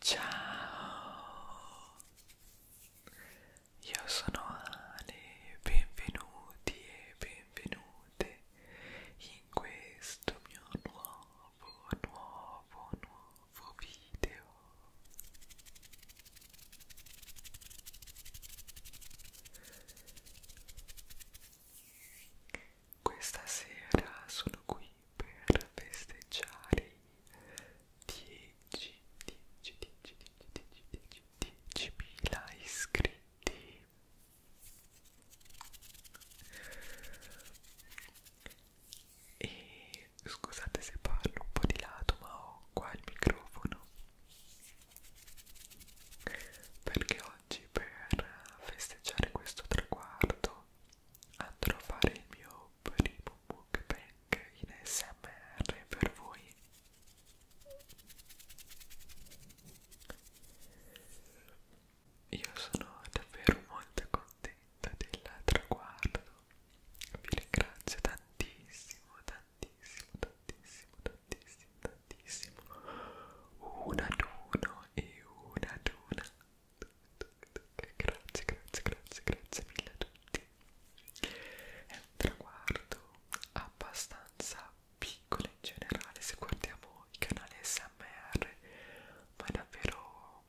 Ciao, io sono Ale, benvenuti e benvenute in questo mio nuovo, nuovo, nuovo video. Questa sera sono qui per festeggiare i 10, 10, 10, 10, 10, 10.000 iscritti. E scusate se parlo un po' di lato, ma ho qua il microfono perché oggi per festeggiare questo traguardo andrò a fare il mio primo mukbang in SMR per voi io sono davvero molto contenta del traguardo vi ringrazio tantissimo tantissimo tantissimo tantissimo tantissimo una ad uno e una ad una Grazie, grazie, grazie, grazie mille a tutti. È un traguardo abbastanza piccolo in generale se guardiamo i canali SMR, ma è davvero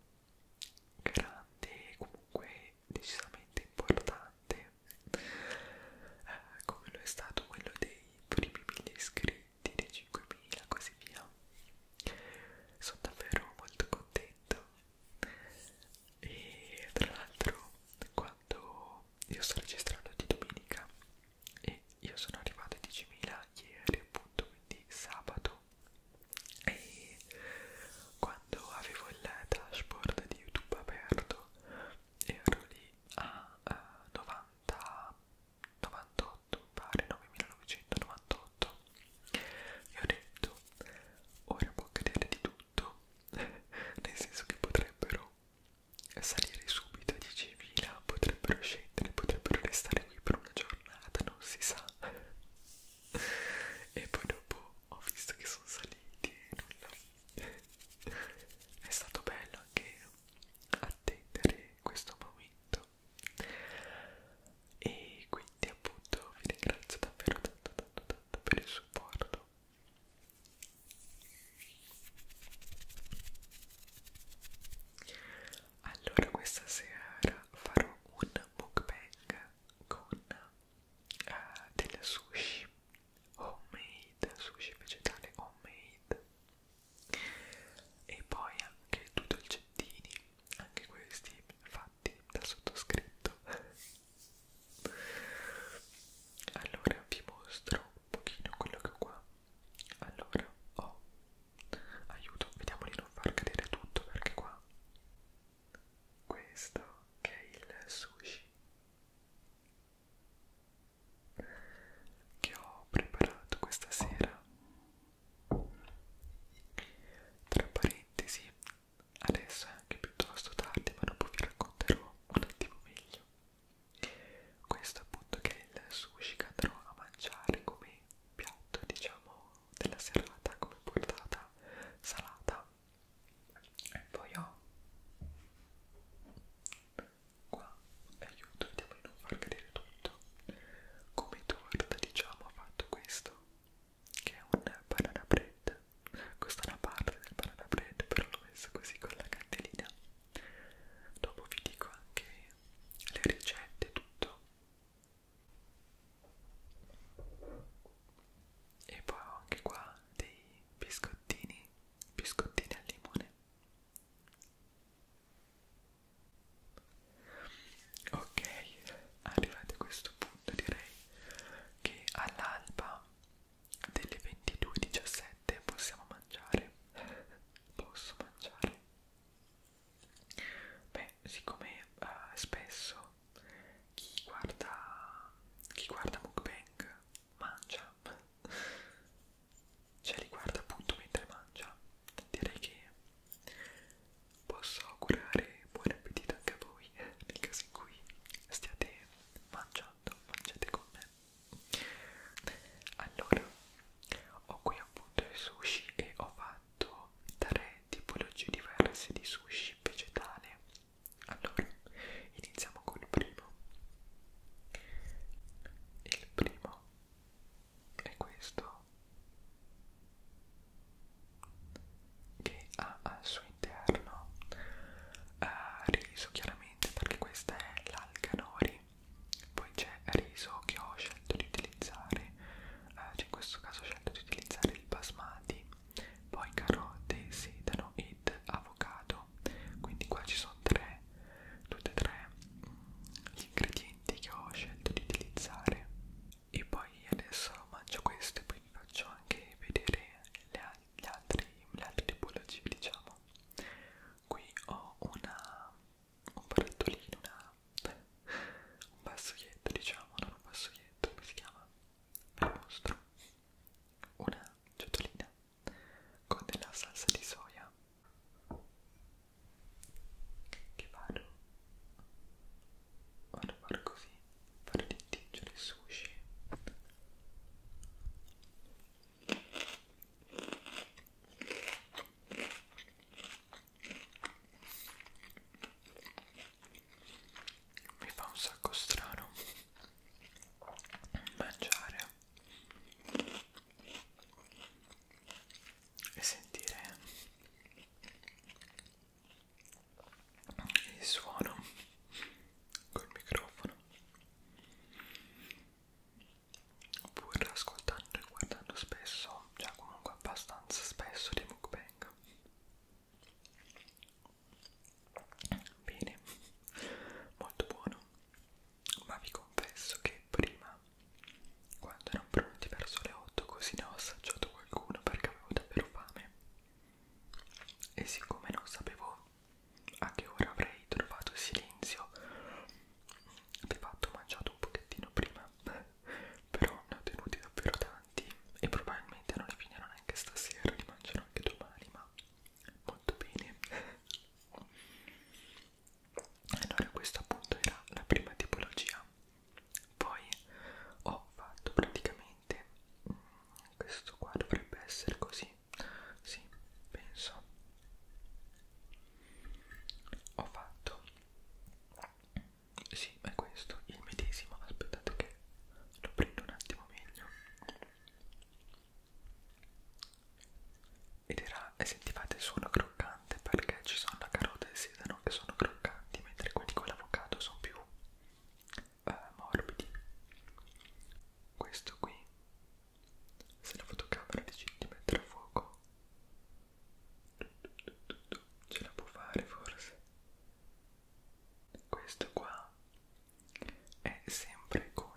grande e comunque decisamente importante, eh, come lo è stato quello dei primi 1000 iscritti, dei 5000 e così via sono davvero molto contento e tra l'altro quando io sto registrando di domenica e io sono arrivato a 10.000 ieri appunto quindi sabato e quando avevo il dashboard di youtube aperto ero lì a eh, 90 98 pare 9998 sotto e ho detto ora può accadere di tutto nel senso che potrebbero salire subito a 10.000 potrebbero scendere potrebbero restare qui per una giornata non si sa e poi dopo ho visto che sono saliti e nulla è stato bello anche attendere questo momento e quindi appunto vi ringrazio davvero tanto tanto tanto per il supporto allora questa sera farò un mukbang con uh, del sushi homemade sushi vegetale homemade e poi anche due dolcettini anche questi fatti fatti dal sottoscritto allora vi mostro un pochino quello che ho qua allora ho oh, aiuto vediamo di non far cadere tutto perché qua questo che è il sushi che ho preparato questa sera tra parentesi, adesso è anche piuttosto tardi, ma dopo vi racconterò un attimo meglio. Questo appunto che è il sushi che andrò a mangiare come piatto, diciamo, della serata, come portata salata. E poi ho qua, aiuto, vediamo di non far cadere tutto. Come torta, diciamo, ho fatto questo che è un banana bread questa è una parte del banana bread però l'ho messo così con la candelina dopo vi dico anche le ricette tutto e poi ho anche qua dei biscottini biscottini al limone Ok, arrivati a questo punto direi che all'alba delle 22.17 possiamo mangiare. Posso mangiare? Beh, siccome uh, spesso chi guarda, chi guarda mukbang mangia, cioè li guarda appunto mentre mangia direi che posso augurare buon appetito anche a voi eh, nel caso in cui stiate mangiando, mangiate con me. Allora, ho qui appunto i sushi e ho fatto tre tipologie diverse di sushi vegetale. Allora, iniziamo col primo. Il primo è questo che ha al suo interno eh, riso chiaramente perché questa è l'alcanori poi c'è riso che ho scelto di utilizzare eh, cioè in questo caso ho scelto di utilizzare il basmati poi carote, sedano ed avocado quindi qua ci sono tre tutte e tre mm, gli ingredienti che ho scelto di utilizzare e poi adesso mangio questo e poi vi faccio anche vedere le, gli altri, le altre tipologie diciamo qui ho una, un barattolino una, un vassoietto diciamo non un vassoietto come si chiama ve lo mostro una ciotolina con della salsa di soia che vado Ora far così, far tintingere il sushi. Mi fa un sacco strano mangiare e sentire il suono col microfono oppure ascoltando e guardando spesso già cioè comunque abbastanza spesso dei mukbang bene molto buono ma vi confesso che prima quando erano pronti verso le 8 così ne ho assaggiato qualcuno perché avevo davvero fame e siccome non sapevo a che ora avrei trovato silenzio di fatto ho mangiato un pochettino prima però ne ho tenuti davvero tanti e probabilmente non li finirò neanche stasera, li mangerò anche domani ma molto bene allora questo appunto era la prima tipologia poi ho fatto praticamente mm, questo qua dovrebbe essere così sì penso ho fatto sì è questo il medesimo aspettate che lo prendo un attimo meglio ed era e sentivate il suono croccante perché ci sono la carota e sedano che sono croccanti, mentre quelli con l'avocado sono più eh, morbidi. Questo qui, se la fotocamera decide di mettere a fuoco, ce la può fare forse. Questo qua è sempre con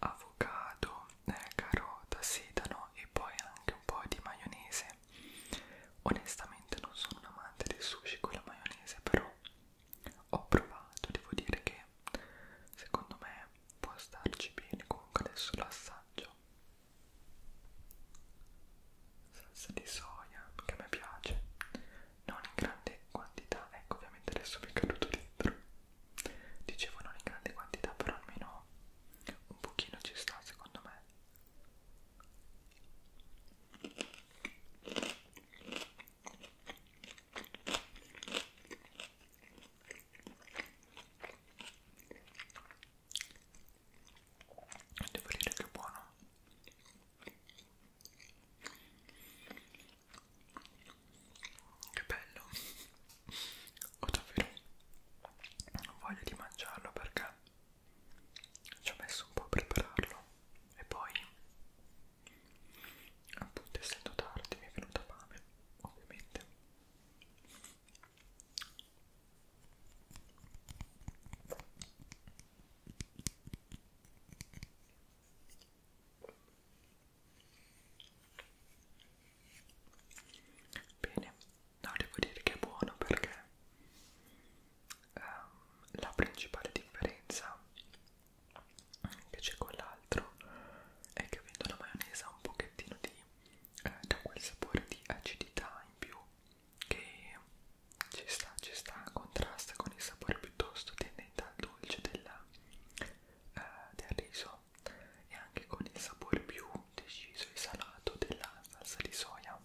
avocado, eh, carota, sedano e poi anche un po' di maionese maionese onestamente non sono un amante del sushi con la maionese però ho provato devo dire che secondo me può starci bene comunque adesso lo assaggio salsa di soia che a me piace non in grande quantità ecco ovviamente adesso mi è caduto dentro dicevo non in grande quantità però almeno un pochino ci sta secondo me Devo dire che è buono. Che bello. Ho davvero voglia di mangiarlo perché ci ho messo un po' a prepararlo e poi appunto essendo tardi mi è venuta fame ovviamente bene No, devo dire che è buono perché um, la principale differenza che c'è con l'altro è che avendo la maionese ha un pochettino di eh, quel sapore di acidità in più che ci sta, ci sta, contrasta con il sapore piuttosto tendente al dolce della, eh, del riso e anche con il sapore più deciso e salato della salsa di soia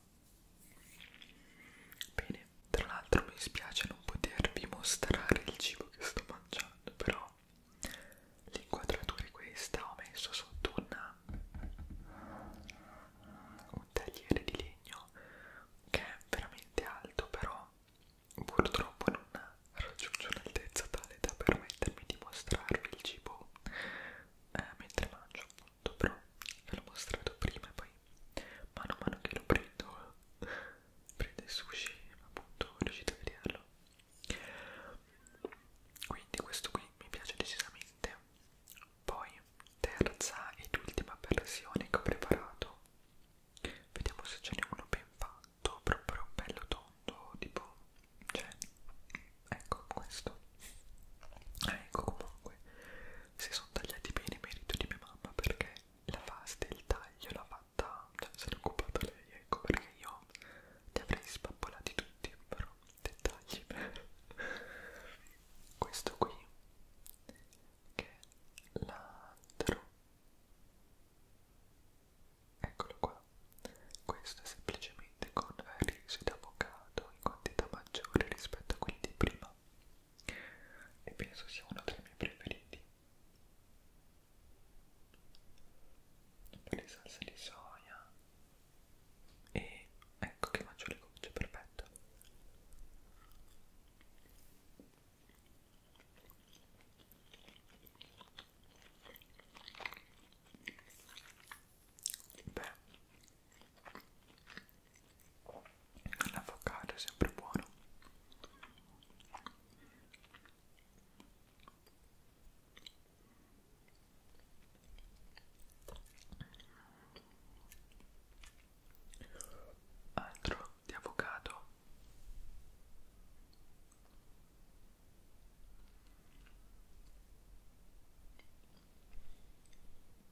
Bene, tra l'altro mi spiace non potervi mostrare il cibo che sto mangiando, però l'inquadratura è questa, ho messo sotto una, un tagliere di legno che è veramente alto, però purtroppo non raggiunge un'altezza tale da permettermi di mostrarvi il cibo eh, mentre mangio pronto, però ve l'ho mostrato prima e poi mano a mano che lo prendo, prendo il sushi, appunto riuscite a vederlo. Quindi questo qui mi piace decisamente. Poi terza ed ultima versione che ho preparato. Vediamo se ce n'è uno ben fatto, proprio bello tondo, tipo, cioè, ecco questo ecco comunque si sono tagliati bene merito di mia mamma perché la pasta il taglio l'ha fatta cioè se l'è occupata lei ecco perché io li avrei spappolati tutti però dettagli questo qui che è l'altro eccolo qua questo è semplicemente vende con risi d'avocado in quantità maggiore rispetto a quelli di prima e penso sia uno dei miei preferiti poi le salse di soia e ecco che mangio le gocce, perfetto beh l'avocado è sempre buono altro di avocado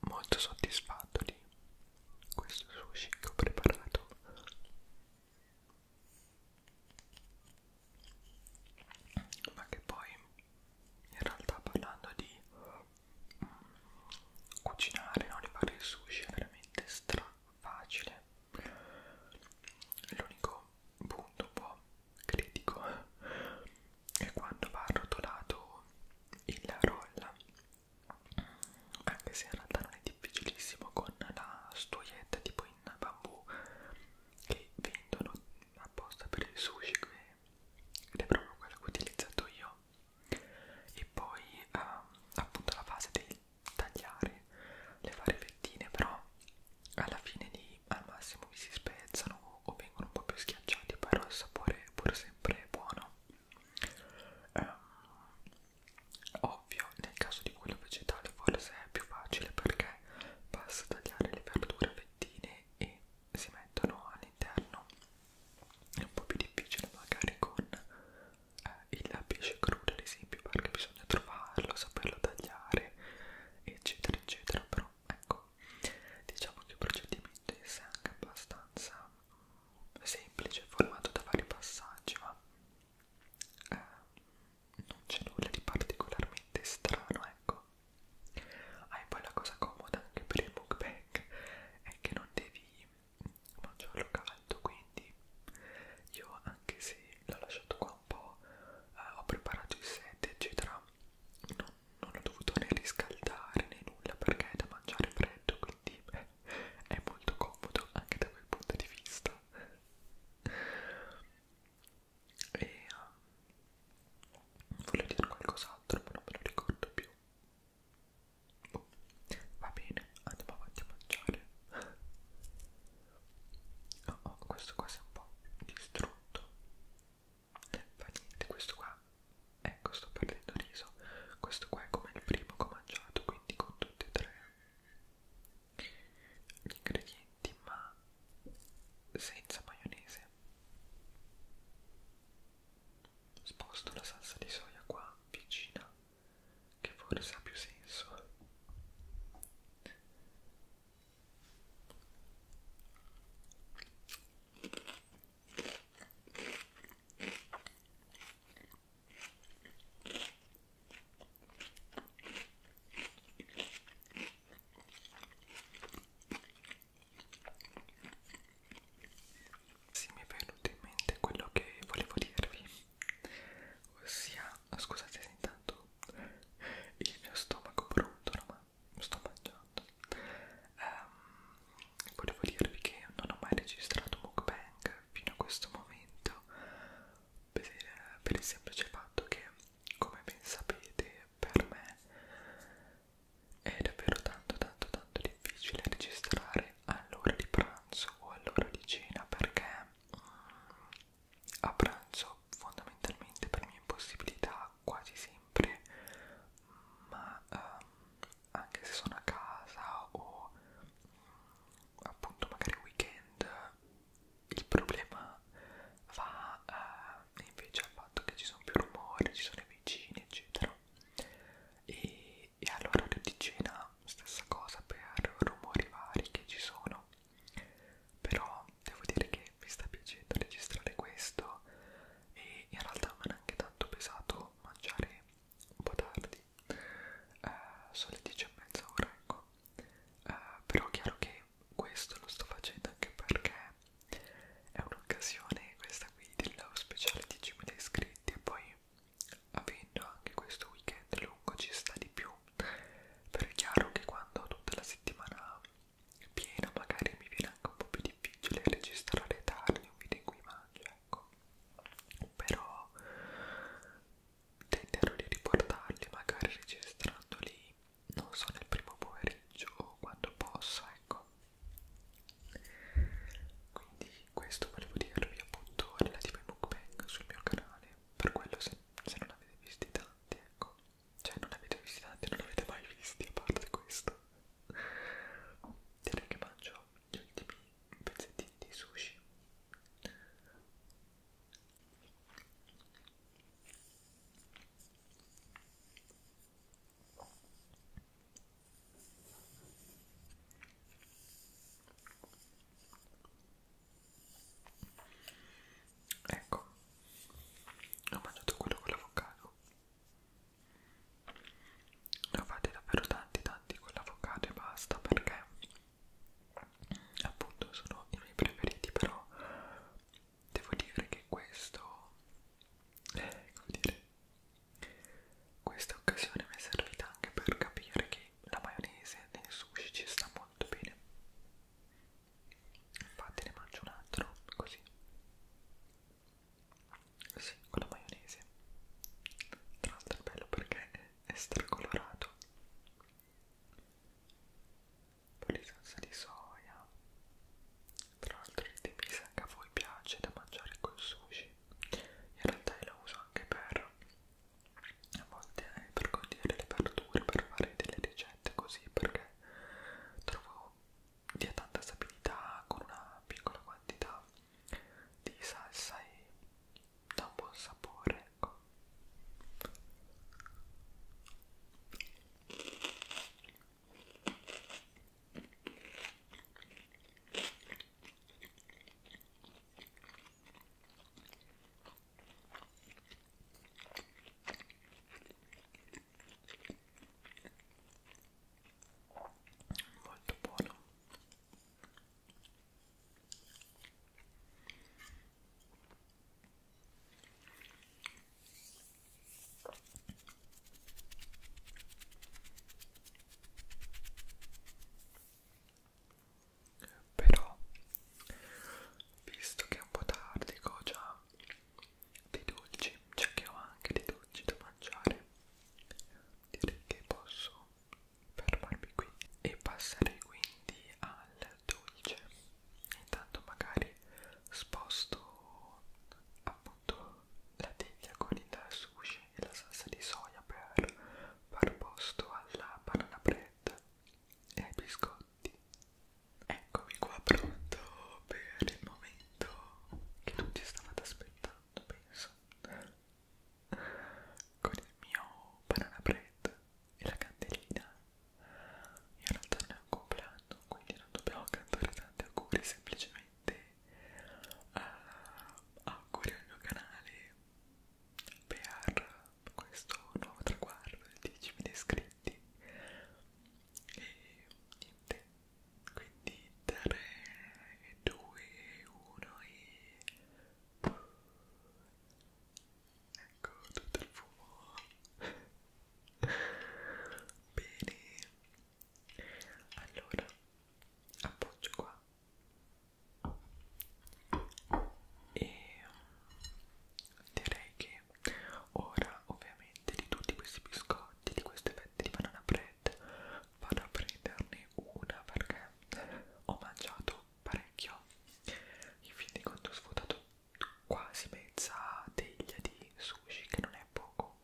molto soddisfatto di questo sushi che ho preparato ma che poi in realtà parlando di mm, cucinare no, di fare il sushi è veramente stra facile l'unico punto un po' critico è quando va arrotolato il roll anche se in realtà non è difficilissimo con la stuietta tipo in bambù che vendono apposta per il sushi qui ed è proprio quello che ho utilizzato io e poi ehm, appunto la fase del tagliare le varie fettine però alla fine lì al massimo mi si spezzano o vengono un po' più schiacciati però il sapore è pur sempre buono eh, ovvio nel caso di quello vegetale forse è più facile perché basta tagliare le verdure a fettine e si mettono all'interno è un po' più difficile magari con eh, il pesce crudo ad esempio perché bisogna trovarlo, saperlo tagliare eccetera eccetera però ecco diciamo che il procedimento è anche abbastanza semplice, formato da vari passaggi, ma eh, non c'è nulla di particolarmente strano, ecco. Ah, e poi la cosa comoda anche per il mukbang è che non devi mangiarlo caldo, quindi io anche se l'ho lasciato qua un po', eh, ho preparato il set, eccetera, non, non ho dovuto né riscaldare né nulla perché è da mangiare freddo, quindi è molto comodo anche da quel punto di vista e um, volevo dire qualcos'altro ma non me lo ricordo più oh, va bene andiamo avanti a mangiare oh, oh, questo qua si è un po' distrutto fa niente questo qua ecco sto perdendo riso questo qua è come il primo che ho mangiato quindi con tutti e tre gli ingredienti ma senza maionese sposto la salsa di soia qua vicina che forse ha più senso sì, mi è venuto in mente quello che volevo dirvi, ossia, scusate se intanto il mio stomaco brontolo, ma sto mangiando. Um, volevo dirvi che non ho mai registrato mukbang fino a questo momento per, per il semplice fatto che come ben sapete per me è davvero tanto tanto tanto difficile registrare all'ora di pranzo o all'ora di cena perché mm, a pranzo fondamentalmente per mia impossibilità quasi sempre ma um, anche se sono a casa o appunto magari weekend il problema va eh, invece al fatto che ci sono più rumori, ci sono i vicini eccetera e, e all'orario di cena stessa cosa per rumori vari che ci sono però devo dire che mi sta piacendo registrare questo e in realtà mi è anche tanto pesato mangiare un po' tardi, eh, sono le 10 e mezza ora, ecco. Eh, però è chiaro che questo lo sto facendo anche perché è un'occasione questa qui del live speciale 10.000 iscritti e poi avendo anche questo weekend lungo ci sta di più però è chiaro che quando ho tutta la settimana è piena magari mi viene anche un po' più difficile registrare tardi un video in cui mangio ecco però tenterò di riportarli magari registrandoli non so nel primo pomeriggio o quando posso ecco quindi questo volevo dirvi appunto relativo ai mukbang sul mio canale per quello se, se non avete visti tanti ecco cioè non avete visti tanti non avete mai visti a parte questo direi che mangio gli ultimi pezzettini di sushi Ecco, ho mangiato quello con l'avocado ne ho fatti davvero tanti tanti con l'avocado e basta perché appunto sono i miei preferiti però devo dire che questo eh, come dire questa occasione mi è servita anche per capire che la maionese nei sushi ci sta molto bene infatti ne mangio un altro così sì, con la maionese. Tra l'altro è bello perché è stracolorato. Poi di salsa di soia. Tra l'altro il temisa che a voi piace da mangiare col sushi. In realtà io lo uso anche per a volte eh, per condire le verdure, per fare delle ricette così perché trovo dia tanta stabilità con una piccola quantità di salsa e dà un buon sapore ecco molto buono però, visto che è un po' tardi, ho già dei dolci, cioè che ho anche dei dolci da mangiare direi che posso fermarmi qui e passare quindi al dolce intanto magari sposto appunto la teglia con il sushi e la salsa di soia per far posto alla banana bread e ai biscotti eccomi qua pronto per il momento che tutti stavate aspettando penso con il mio banana bread e la candelina io non torno a compleanno quindi non dobbiamo cantare tanti auguri semplicemente uh, auguri al mio canale per questo nuovo traguardo di 10.000 iscritti e niente quindi 3 2 1 e ecco tutto il fumo bene allora appoggio qua e mm, direi che ora ovviamente di tutti questi biscotti di queste fette di banana bread vado a prenderne una perché ho mangiato parecchio infine quando ho svuotato quasi mezza teglia di sushi che non è poco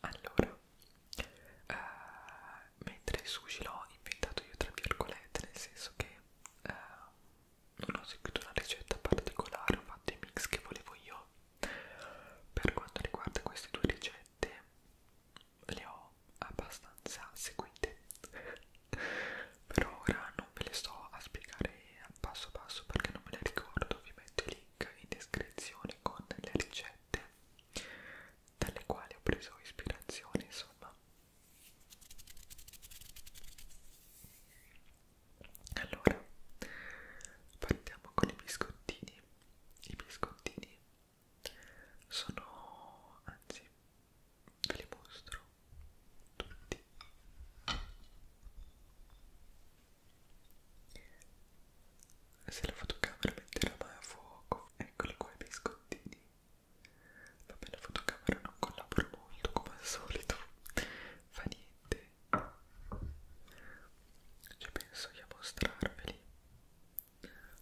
allora eh, mentre il sushi l'ho inventato io tra virgolette nel senso che eh, non ho seguito una ricetta particolare, ho fatto i mix che volevo io. Per quanto riguarda queste due ricette, le ho abbastanza seguite, per ora non ve le sto a spiegare passo passo perché non me le ricordo. Vi metto il link in descrizione con le ricette dalle quali ho preso ispirazione, insomma. Allora, partiamo con i biscottini. I biscottini sono, anzi, ve li mostro tutti. Se la fotocamera metterà mai a fuoco, eccoli qua i biscottini. Vabbè, la fotocamera non collabora molto come al solito, fa niente, ci penso io a mostrarveli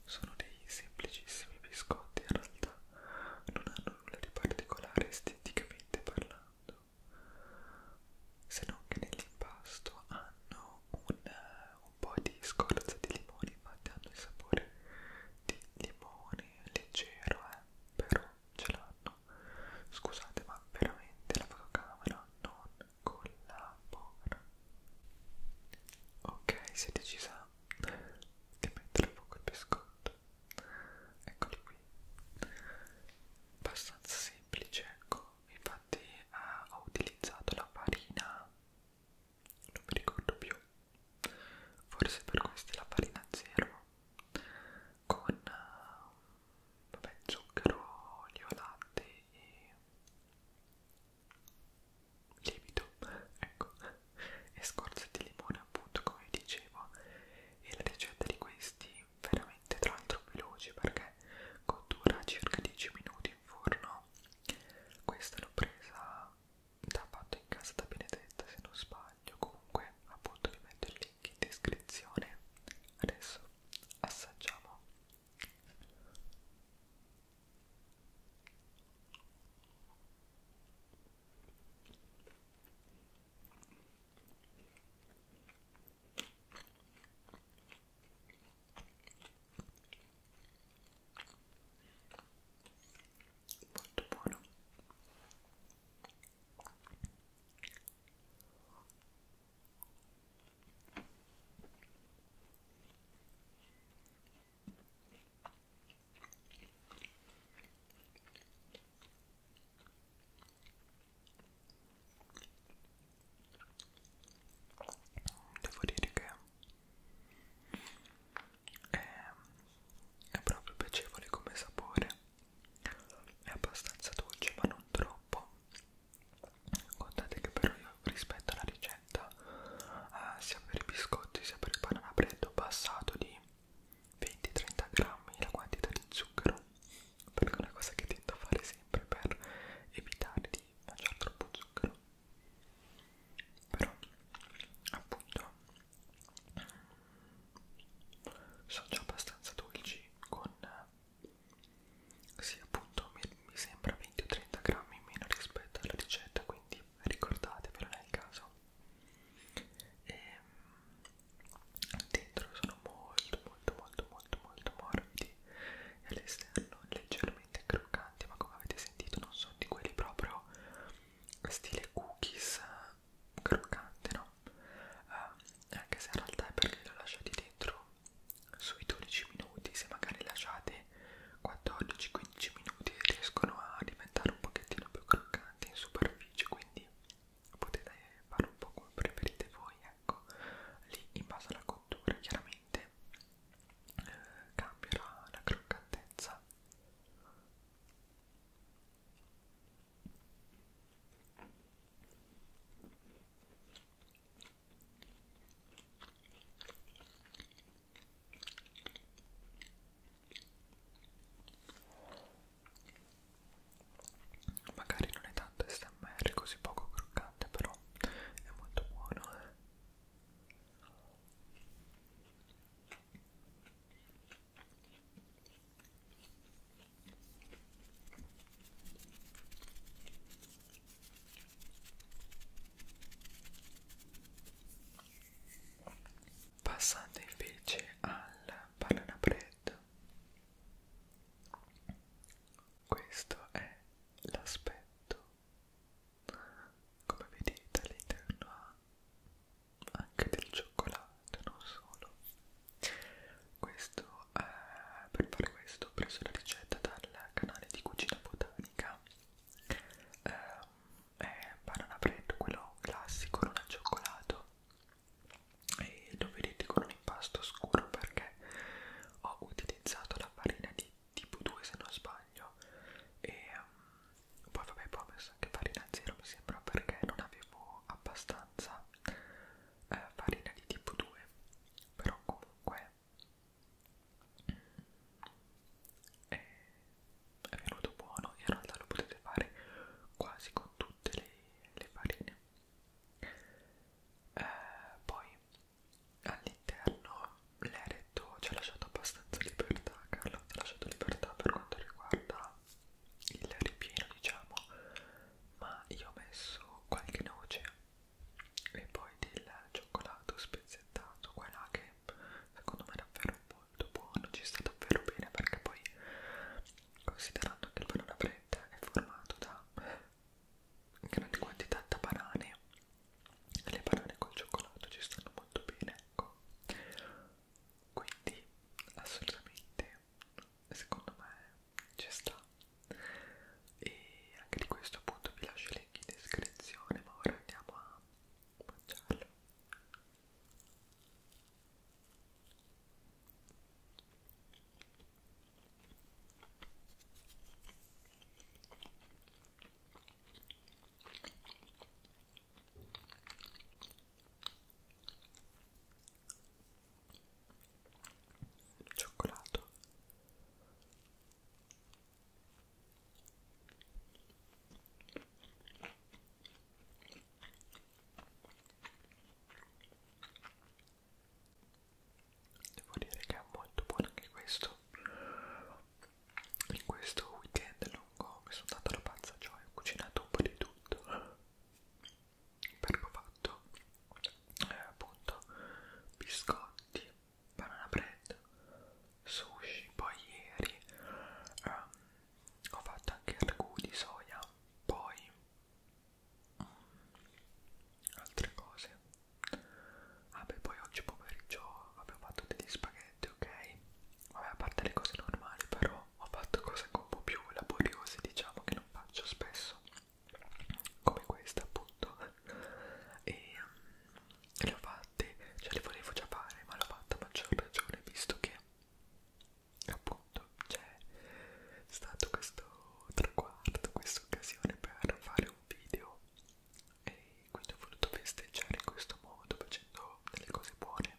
sono dei semplicissimi biscotti in realtà non hanno nulla di particolare esteticamente parlando se non che nell'impasto hanno un, un po' di scorza di limone infatti hanno il sapore di limone leggero eh? però ce l'hanno Scusate, ma veramente la fotocamera non collabora. Ok, si è decisa di mettere a fuoco il biscotto. Eccolo qui. Abbastanza semplice, ecco. Infatti eh, ho utilizzato la farina, non mi ricordo più, forse per questa è la farina zero con eh, vabbè, zucchero, olio, latte e lievito, ecco, e scorze di limone appunto come dicevo e la ricetta di questi veramente tra l'altro veloce perché cottura circa 10 minuti in forno questa l'ho presa da fatto in casa da Benedetta se non sbaglio comunque appunto vi metto il link in descrizione adesso assaggiamo molto buono Devo dire che è, ehm, è proprio piacevole come sapore è abbastanza dolce ma non troppo guardate che però io rispetto alla ricetta eh, sia per i biscotti sia per il banana bread ho passato di 20-30 grammi la quantità di zucchero perché è una cosa che tento a fare sempre per evitare di mangiare troppo zucchero però appunto sono già abbastanza dolci con sì appunto mi, mi sembra 20 o 30 grammi in meno rispetto alla ricetta quindi ricordatevelo nel caso e ehm, dentro sono molto molto molto molto molto morbidi e all'esterno leggermente croccanti ma come avete sentito non sono di quelli proprio stile cookies croccante, no? Eh, anche se in realtà è perché lo lasciate dentro sui 12 minuti, se magari lasciate 14-15 minuti riescono a diventare un pochettino più croccanti in superficie, quindi potete fare un po' come preferite voi, ecco, lì in base alla cottura chiaramente eh, cambierà la croccantezza Magari non è tanto SMR così poco croccante, però è molto buono. Eh. Passando invece al banana bread, questo è l'aspetto. Come vedete all'interno ha anche del cioccolato quanto, non solo. Questo, eh, per fare questo ho preso la ricetta dal canale di cucina botanica. Eh, è banana bread, quello classico, non al cioccolato. E lo vedete con un impasto scuro perché ho utilizzato la farina di tipo 2 se non sbaglio e um, poi vabbè poi ho messo anche farina zero mi sembra perché non avevo abbastanza eh, farina di tipo 2 però comunque mm, è, è venuto buono in realtà lo potete fare quasi con tutte le, le farine eh, poi all'interno l'eretto ci ha lasciato abbastanza libertà Carlo ci ha lasciato libertà per quanto riguarda il ripieno diciamo ma io ho messo qualche noce e poi del cioccolato spezzettato qua e là che secondo me è davvero molto buono ci sta davvero bene perché poi considerando che il banana bread è formato da grandi quantità da banane e le banane col cioccolato ci stanno molto bene ecco quindi assolutamente secondo me ci sta e anche di questo appunto vi lascio il link in descrizione ma ora andiamo a mangiarlo Cioccolato. Devo dire che è molto buono anche questo. In questo weekend lungo mi sono dato la pazza, cioè ho cucinato un po' di tutto perché ho fatto eh, appunto biscotti, banana bread, sushi, poi ieri ehm, ho fatto anche ragù di soia, poi mm, altre cose. Vabbè, ah, poi oggi pomeriggio vabbè, ho fatto degli spaghetti, ok? Vabbè, a parte le cose normali, però ho fatto cose un po' più laboriose diciamo che non faccio spesso come questa appunto e ehm, le ho fatte, cioè le volevo già fare ma l'ho fatta a maggior ragione visto che appunto c'è stato questo traguardo, questa occasione per fare un video e quindi ho voluto festeggiare in questo modo facendo delle cose buone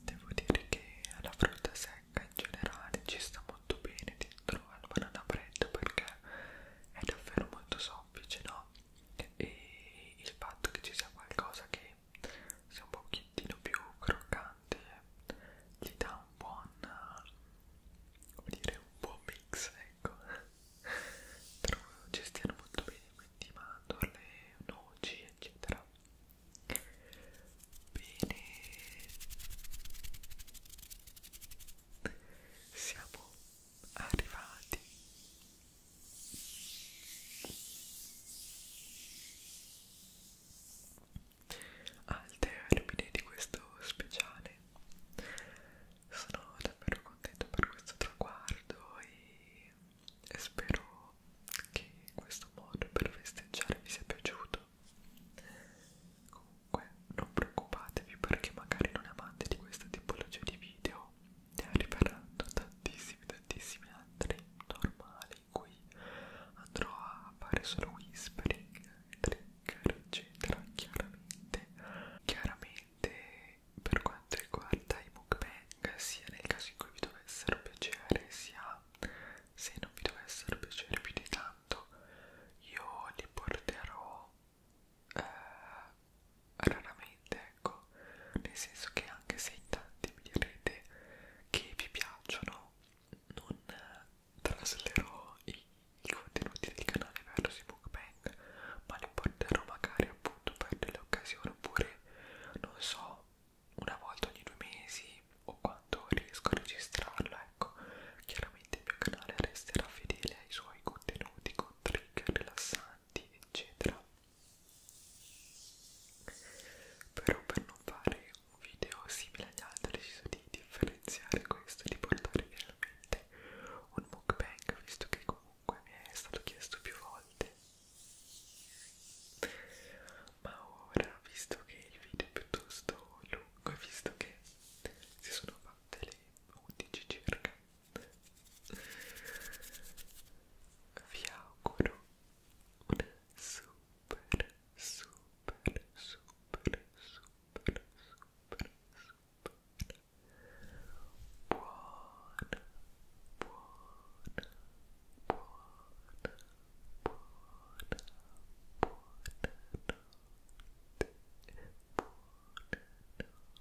Devo dire che la frutta secca in generale ci sta molto bene dentro al banana bread perché è davvero molto soffice, no? e il fatto che ci sia qualcosa che sia un pochettino più croccante gli dà un buon come dire un buon mix ecco trovo ci stiano molto bene quindi mandorle noci eccetera bene siamo arrivati al termine di questo speciale sono davvero contento per questo traguardo e spero che questo modo per festeggiare vi sia piaciuto comunque non preoccupatevi perché magari non amate di questa tipologia di video però ne arriveranno tantissimi, tantissimi altri normali in cui andrò a fare solo whispering, trigger, eccetera. Chiaramente, chiaramente per quanto riguarda i mukbang, sia nel caso in cui vi dovessero piacere, sia se non vi dovessero piacere più di tanto, io li porterò eh, raramente, ecco, nel senso che anche se in tanti mi direte che vi piacciono, non traslerò i, i contenuti del canale verso i bookbang, ma li porterò magari appunto per delle occasioni oppure, non so, una volta ogni due mesi o quando riesco a registrarlo, ecco, chiaramente il mio canale resterà fedele ai suoi contenuti con trigger rilassanti avanti eccetera però per non fare un video simile agli altri ho deciso di differenziare questo di portare finalmente un mukbang visto che comunque mi è stato chiesto più volte ma ora visto che il video è piuttosto lungo e visto che si sono fatte le 11 circa vi auguro super super super super super super buona buona buona buona buona notte buona